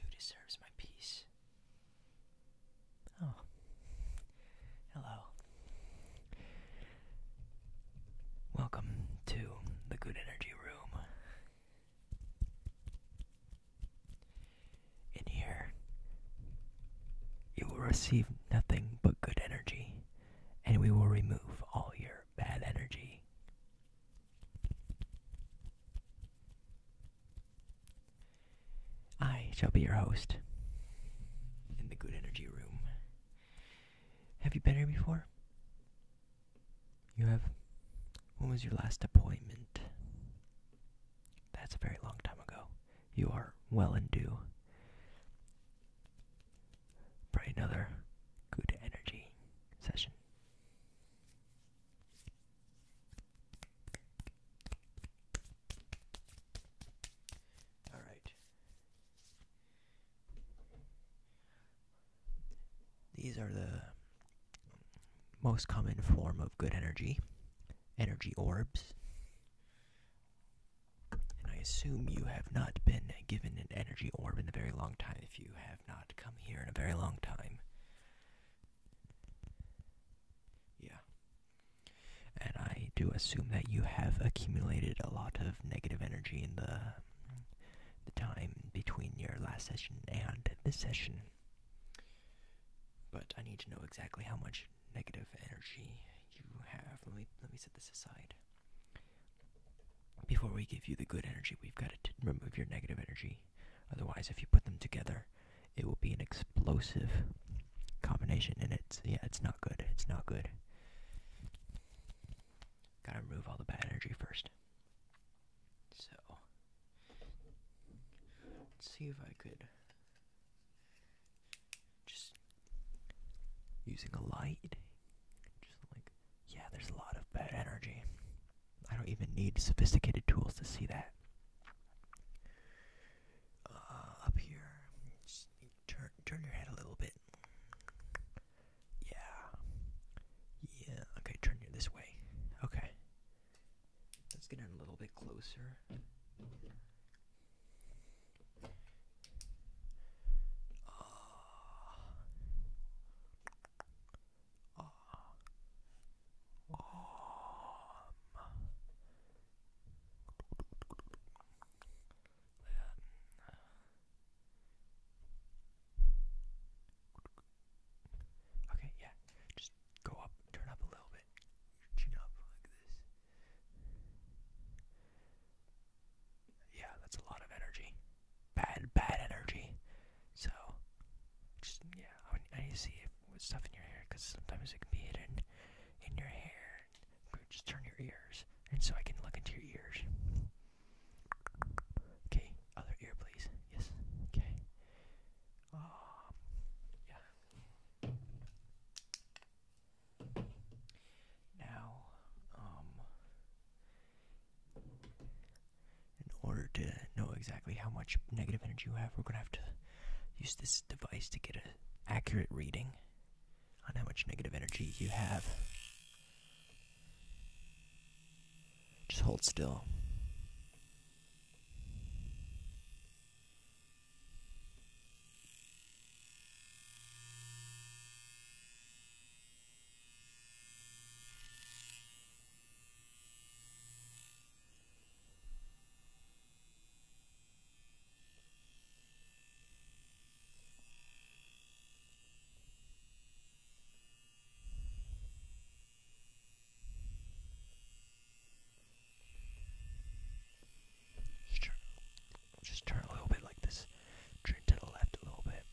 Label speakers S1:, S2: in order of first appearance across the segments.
S1: Who deserves my peace? Oh, hello. Welcome to the Good Energy Room. In here, you will receive nothing but good energy, and we will remove all your bad energy. I shall be your host in the Good Energy Room. Have you been here before? You have? When was your last appointment? That's a very long time ago. You are well and due. Probably another good energy session. All right. These are the most common form of good energy, energy orbs. And I assume you have not been given an energy orb in a very long time if you have not come here in a very long time. Yeah. And I do assume that you have accumulated a lot of negative energy in the the time between your last session and this session. But I need to know exactly how much negative energy you have. Let me let me set this aside. Before we give you the good energy, we've got to remove your negative energy. Otherwise, if you put them together, it will be an explosive combination, and it's yeah, it's not good. It's not good. Gotta remove all the bad energy first. So, let's see if I could just using a light. Just like, yeah, there's a lot of bad energy. I don't even need sophisticated tools to see that. Uh, up here, turn turn your head a little bit. Yeah. Yeah. Okay, turn you this way. Okay. Let's get in a little bit closer. Ah. Ah. Um. Okay, yeah. Just go up, turn up a little bit, chin up like this. Yeah, that's a lot of energy. Bad, bad energy. So, just yeah, I, I need to see if with stuff in your hair because sometimes it can be hidden in your hair just turn your ears, and so I can look into your ears. Okay, other ear, please. Yes. Okay. Um. Yeah. Now, um, in order to know exactly how much negative energy you have, we're gonna have to use this device to get an accurate reading on how much negative energy you have. Just hold still. Just turn, just turn a little bit like this. Turn to the left a little bit.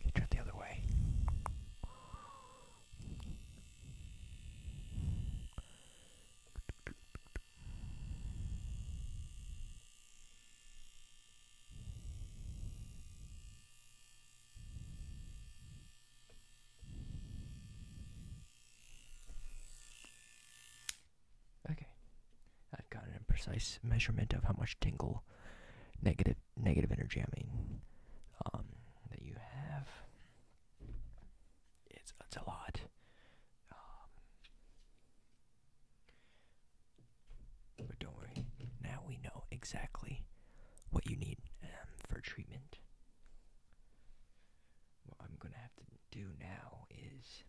S1: Okay, turn the other way. Okay, I've got an imprecise measurement of how much tingle, negative negative energy. I mean, um, that you have. It's it's a lot. Um, but don't worry, now we know exactly what you need um, for treatment. What I'm gonna have to do now is,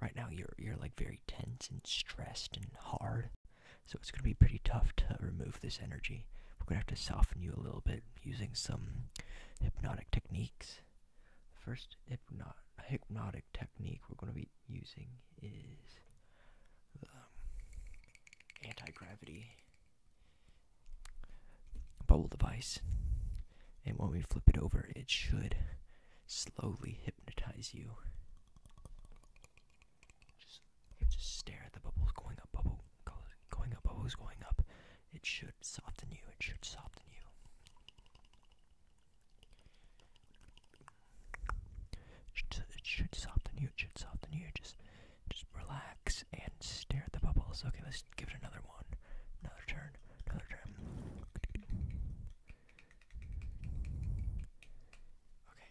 S1: right now you're you're like very tense and stressed and hard, so it's gonna be pretty tough to remove this energy. We're gonna have to soften you a little bit using some hypnotic techniques. The first hypnotic technique we're going to be using is the um, anti-gravity bubble device. And when we flip it over, it should slowly hypnotize you. Just, just stare at the bubbles going up, bubble going up, bubbles going up. It should soften you. It should soften you. It should soften you. It should soften you. Just, just relax and stare at the bubbles. Okay, let's give it another one, another turn, another turn. Okay.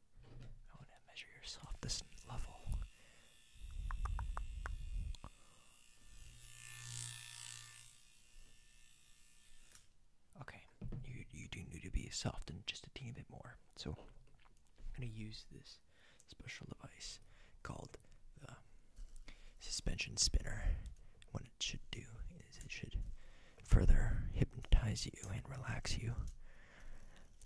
S1: I want to measure your softness level. Okay, you you do need to be softened just a teeny bit more. So I'm gonna use this special device called the suspension spinner. What it should do is it should further hypnotize you and relax you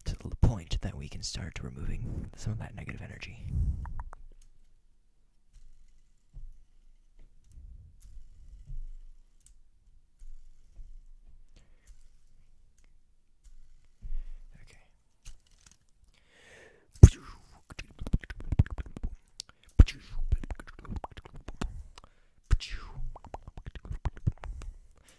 S1: to the point that we can start removing some of that negative energy. Okay.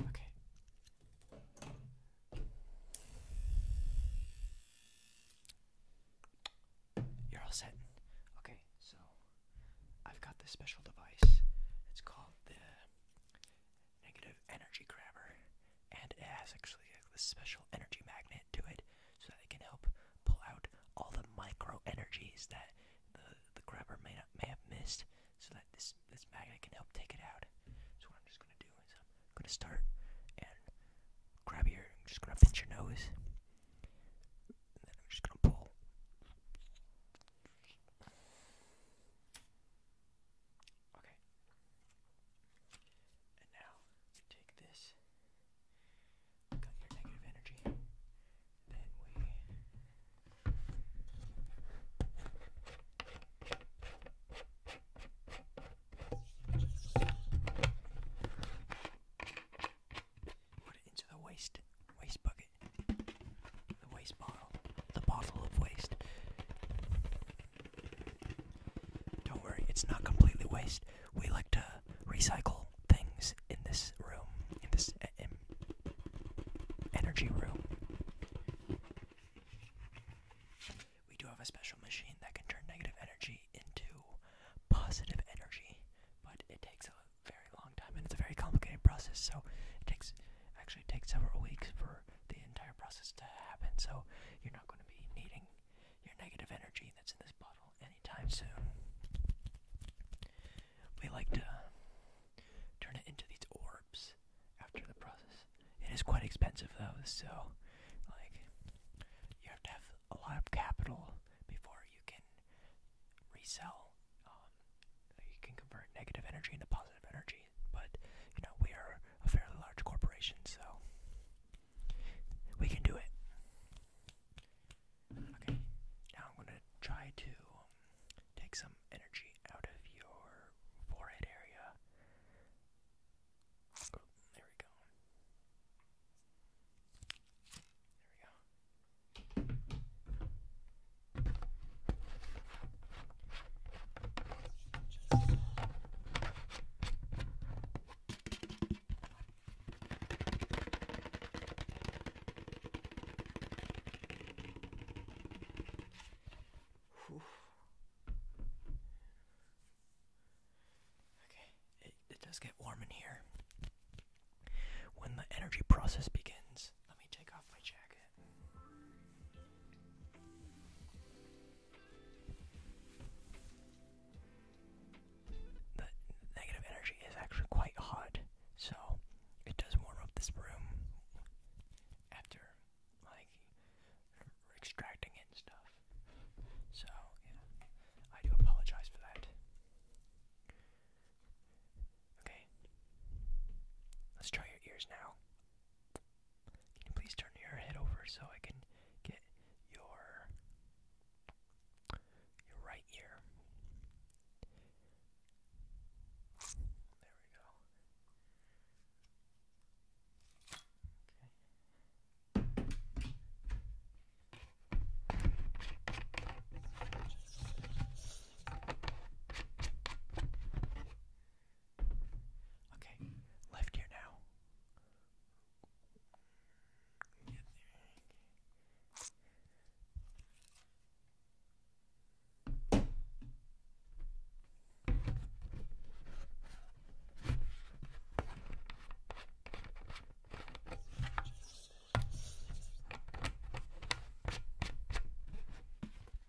S1: Okay. You're all set. Okay, so I've got this special device. It's called the negative energy grabber and it has actually a special energy magnet to it so that it can help pull out all the micro energies that the the grabber may not, may have missed so that this this magnet can help take it out. So what I'm just gonna do is I'm gonna start and grab your just gonna pinch your nose and then I'm just gonna pull Okay. And now take this, negative energy, then we put it into the waste waste bucket. The waste bottle. The bottle of waste. Don't worry, it's not completely waste. We like to recycle things in this room, in this uh, energy room. We do have a special machine that can turn negative energy into positive energy, but it takes a very long time and it's a very complicated process. So it takes actually takes several weeks for the entire process to happen. So you're not going to be needing your negative energy that's in this bottle anytime soon. We like to turn it into these orbs after the process. It is quite expensive though, so like you have to have a lot of capital before you can resell. Um, you can convert negative energy into positive energy, but you know we are a fairly large corporation, so we can do it. Okay, now I'm going to try to um, take some energy out of your forehead area. there we go. There we go. Okay, it does get warm in here. When the energy process begins, let me take off my jacket. The negative energy is actually quite hot, so it does warm up this room after like extracting it stuff. So I do apologize for that. Okay, let's try your ears now. Can you please turn your head over so I can get your your right ear? There we go. Okay. Okay, left ear now. Get there.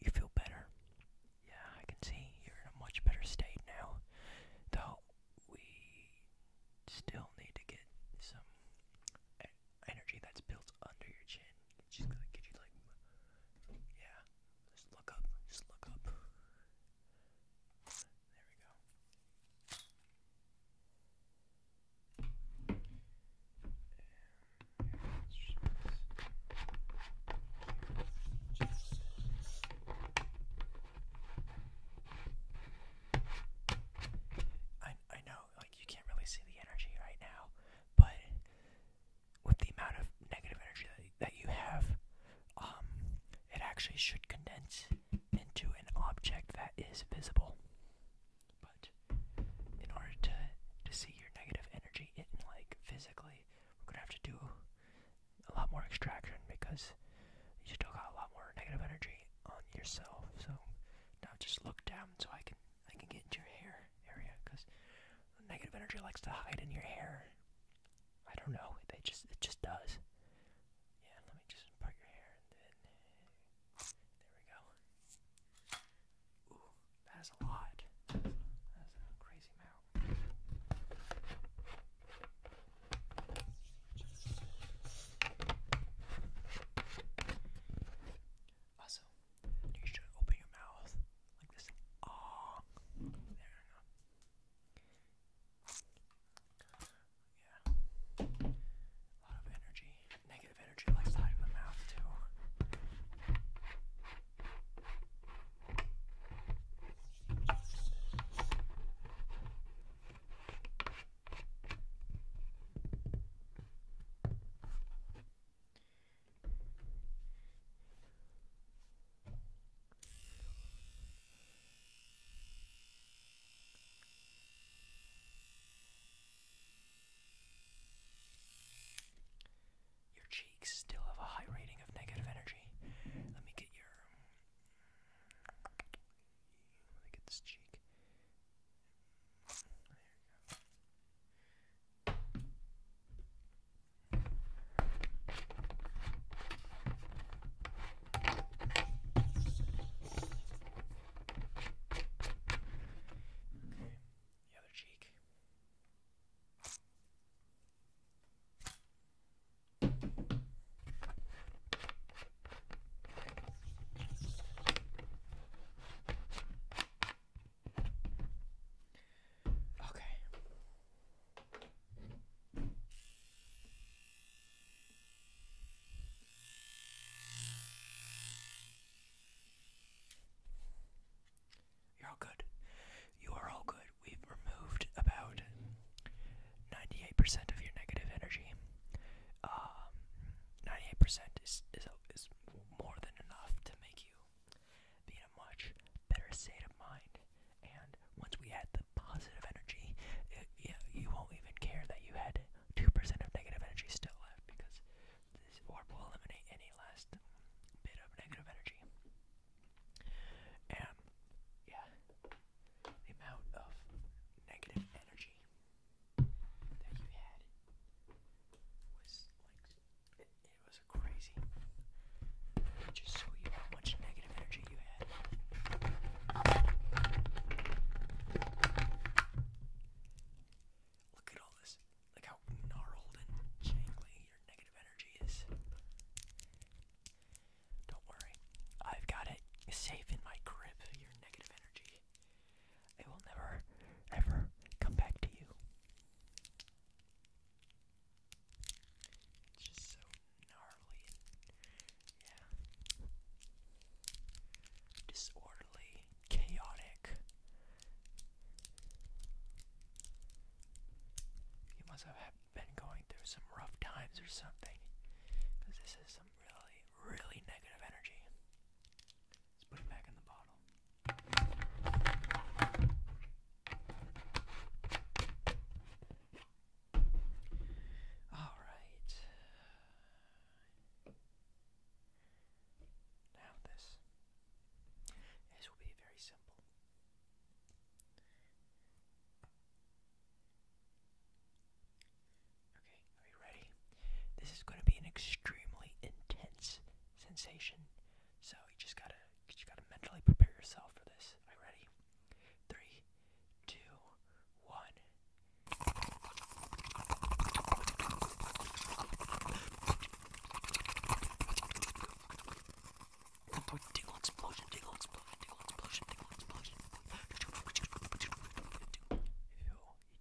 S1: You feel better? Yeah, I can see you're in a much better state now. Though we still need to get some energy that's built under your chin. just gonna get you like, yeah. Just look up. Just look up. There we go. I I know like you can't really see the energy right now, but with the amount of negative energy that, you have, um, it actually should condense into an object that is visible. But in order to to see your negative energy in like physically, we're gonna have to do a lot more extraction because you still got a lot more negative energy on yourself. So now just look down so I can I can get into your hair area because negative energy likes to hide in your hair. I don't know. They just it just does. Yeah, let me just part your hair and then there we go that is a lot. That's a crazy amount. Also, you should open your mouth like this. Ah, there we go. Yeah, a lot of energy negative energy likes to hide the mouth too. Your cheeks still have a high rating of negative energy. Let me get your. Let me get this cheek. There you go. Okay. The other cheek. Okay. You're all good. You are all good. We've removed about 98% of your negative energy. 98% um, is, is, is more than enough to make you be in a much better state of mind. And once we add the positive energy, it, you won't even care that you had 2% of negative energy still left because this orb will eliminate any last bit of negative energy. And yeah, the amount of negative energy that you had was like it, was crazy. Just so you how much negative energy you had. Look at all this. Look how gnarled and jangly your negative energy is. Don't worry, I've got it safe in my grip, your negative energy. It will never, ever come back to you. just so gnarly yeah, disorderly chaotic. You must have been going through some rough times or something. Because this is some really, really negative energy. Let's put it back in the bottle. Alright. Now this. This will be very simple. Okay, are you ready? This is going to be an extremely intense sensation, so you just gotta you gotta mentally prepare yourself for this. Are you ready? Three, two, one. Tingle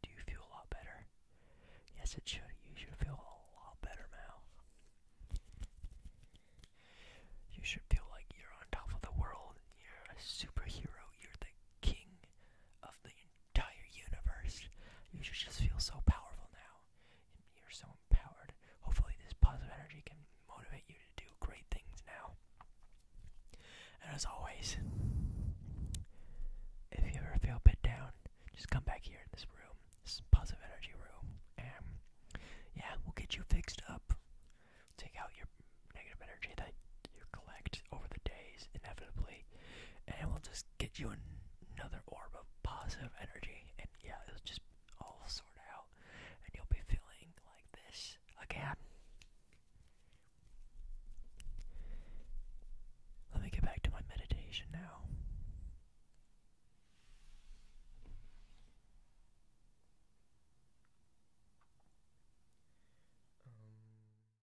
S1: you feel a lot better. Yes, it should. You should feel a lot better now. You should feel like you're on top of the world. You're a superhero. You're the king of the entire universe. You just feel so powerful now. You're so empowered. Hopefully, this positive energy can motivate you to do great things now. And as always, if you ever feel a bit down, just come back here in this room, this positive energy room, and yeah, we'll get you fixed up. Take out your negative energy you collect over the days, inevitably, and will just get you another orb of positive energy, and yeah, it'll just all sort out, and you'll be feeling like this again. Let me get back to my meditation now. Um,